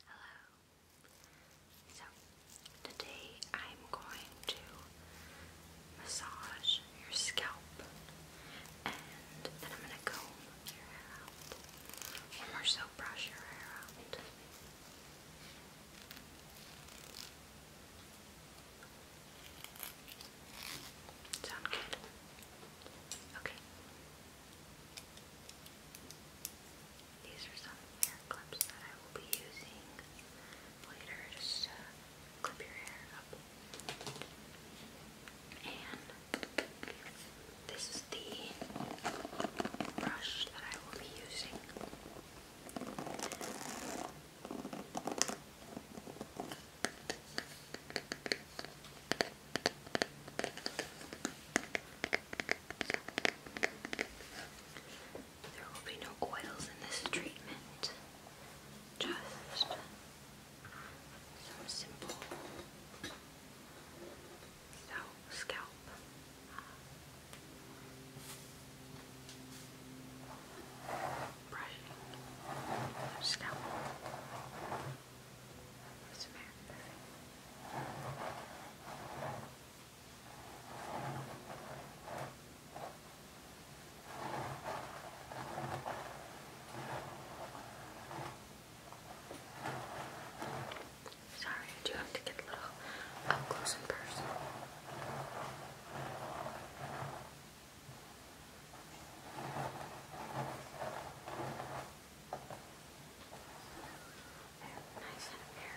Hello. So, today I'm going to massage your scalp and then I'm going to comb your hair out. Or more so, brush your hair out. Sound good? Okay. These are some hair clips that I will be using later just to clip your hair up. And this is the brush that I will be using. There will be no oils in this treatment, just some simple scalp. Brushing scalp. What's the Sorry, I do have to get a little up close and personal. Nice up here.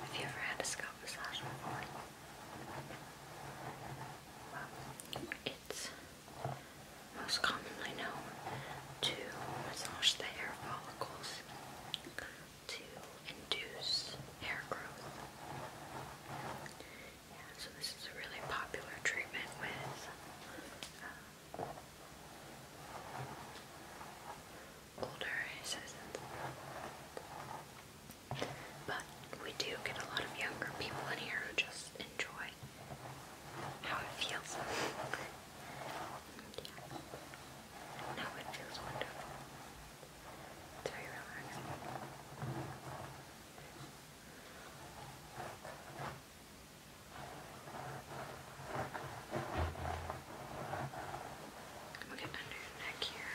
Have you ever had a scalp massage before? it's most commonly known to massage the hair follicles to induce hair growth. Yeah, so this is a really popular treatment with uh, older citizens. But we do get a lot of younger people in here who just enjoy how it feels. yeah. No, it feels wonderful. It's very relaxing. We'll get under your neck here.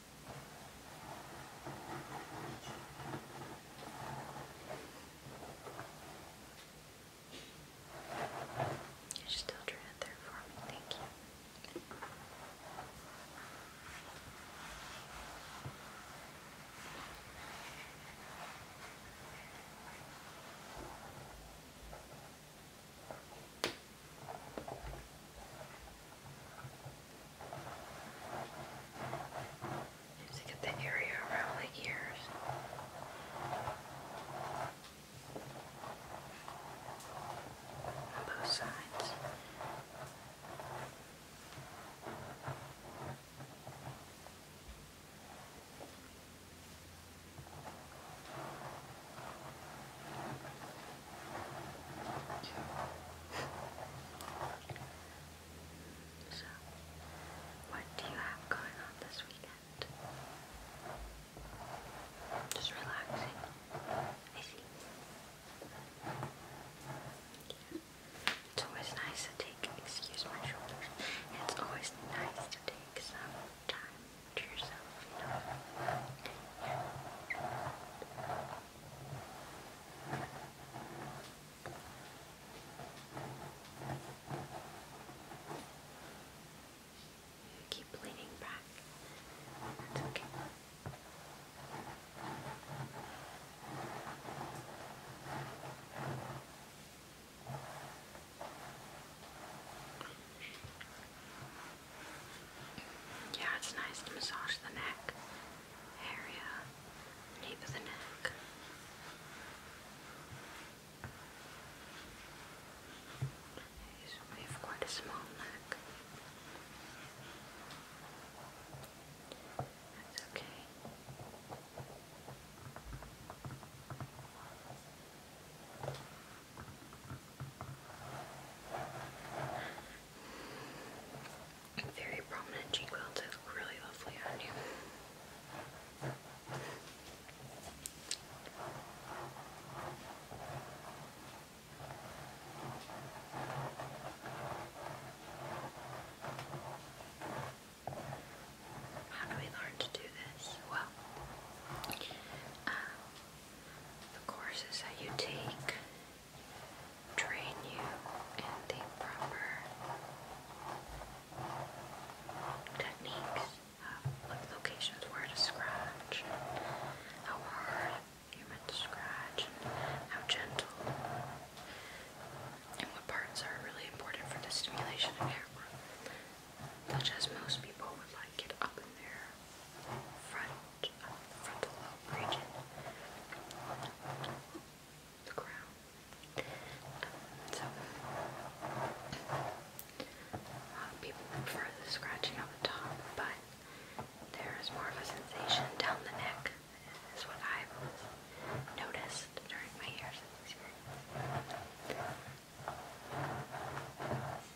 You should still turn there for me, thank you. Just to get the area around the ears. On both sides. So, what do you have going on this weekend? Just relaxing. It's always nice to take, excuse my shoulders, it's always nice to take some time to yourself, you keep leaning back. That's okay. Yeah, it's nice to massage the neck area, nape of the neck. We have quite a small neck. That's okay. Very prominent cheekbones. look really lovely on you. How do we learn to do this? Well, um, the courses that you take train you in the proper techniques of like locations where to scratch, how hard you're scratch, how gentle, and what parts are really important for the stimulation of hair growth, such as most people would like it up in their front, um, the frontal so, uh, people prefer the scratching on the top, but there is more of a sensation down the neck, is what I've noticed during my years of experience.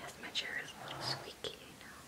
Yes, my chair is a little squeaky, you know.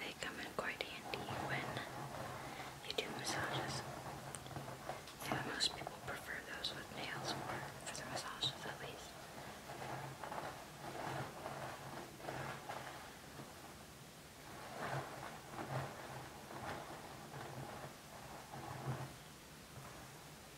They come in quite handy when you do massages. most people prefer those with nails for, for the massages at least.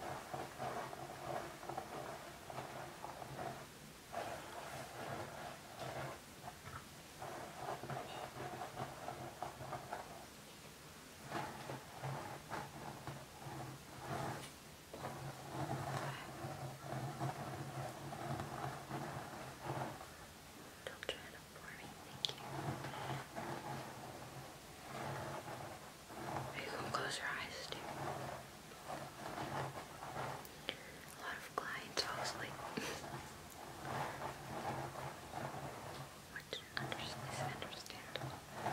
Don't try it up for me, thank you. You can close your eyes too. A lot of clients fall asleep. Which is understandable. All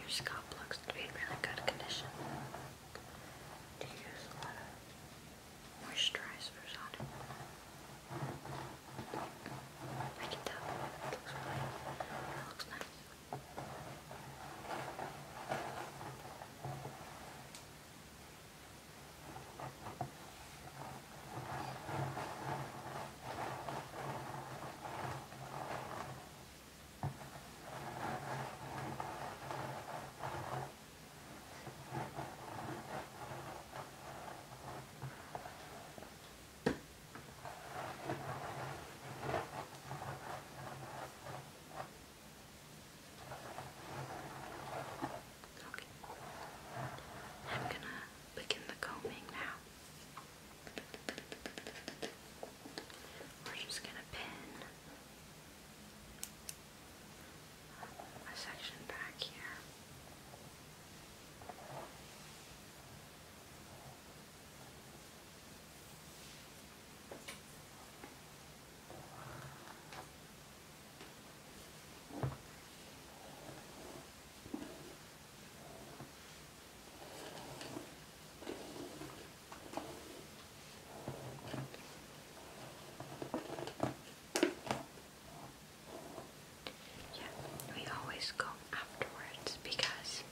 Your scalp looks to be in really good condition. Do you use a lot of moisturizers on it? I can tell. looks really, looks nice. Okay. I'm gonna begin the combing now. We're just going to pin a section back here. Yeah, we always go afterwards because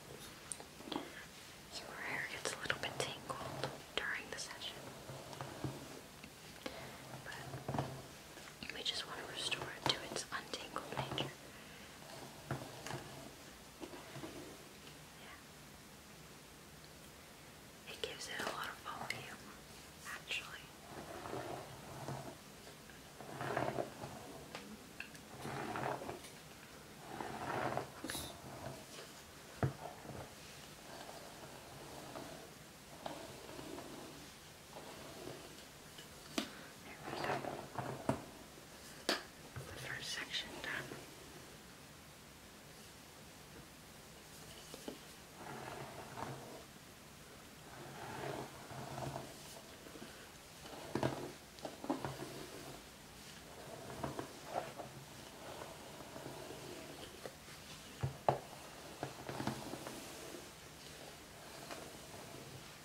your hair gets a little bit tangled during the session. But we just want to restore it to its untangled nature. Yeah. It gives it a lot of volume, actually. There we go. The first section done.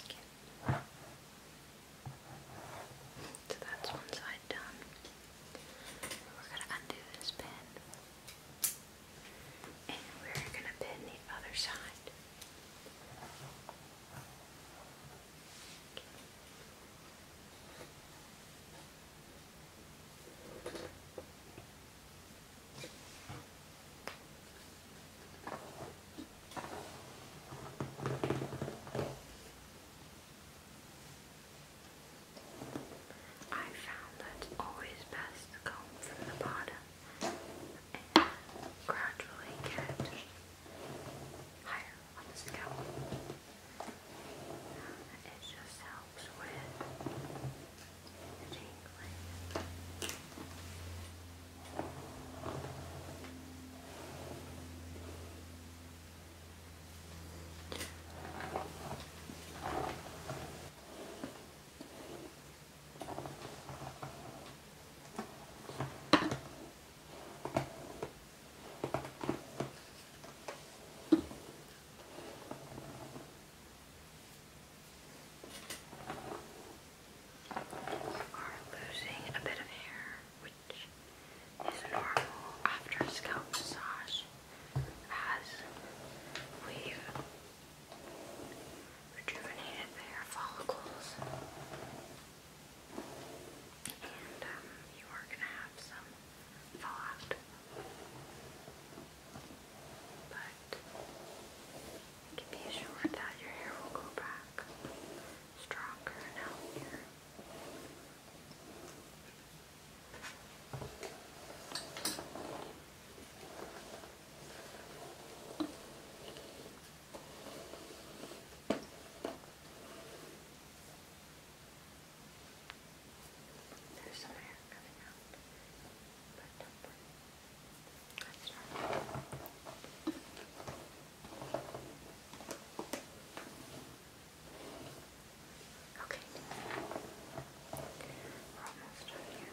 Okay. So that's one side done. We're going to undo this pin and we're going to pin the other side. I found that it's always best to go from the bottom and gradually get higher on the scale. It just helps with the tingling are losing a bit of hair, which is normal after scalp massage, as we've rejuvenated the follicles and um, you are going to have some fallout. But be sure that your hair will go back stronger and there's some air coming out, but don't worry. That's not Okay. We're almost done here.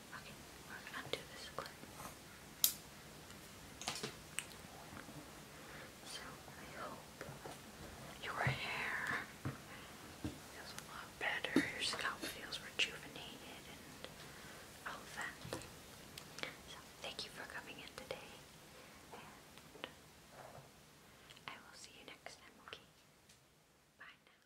Okay, we're gonna undo this clip. So I hope your hair feels a lot better, your scalp feels rejuvenated and all of that. So thank you for coming in today and I will see you next time, okay? Bye now.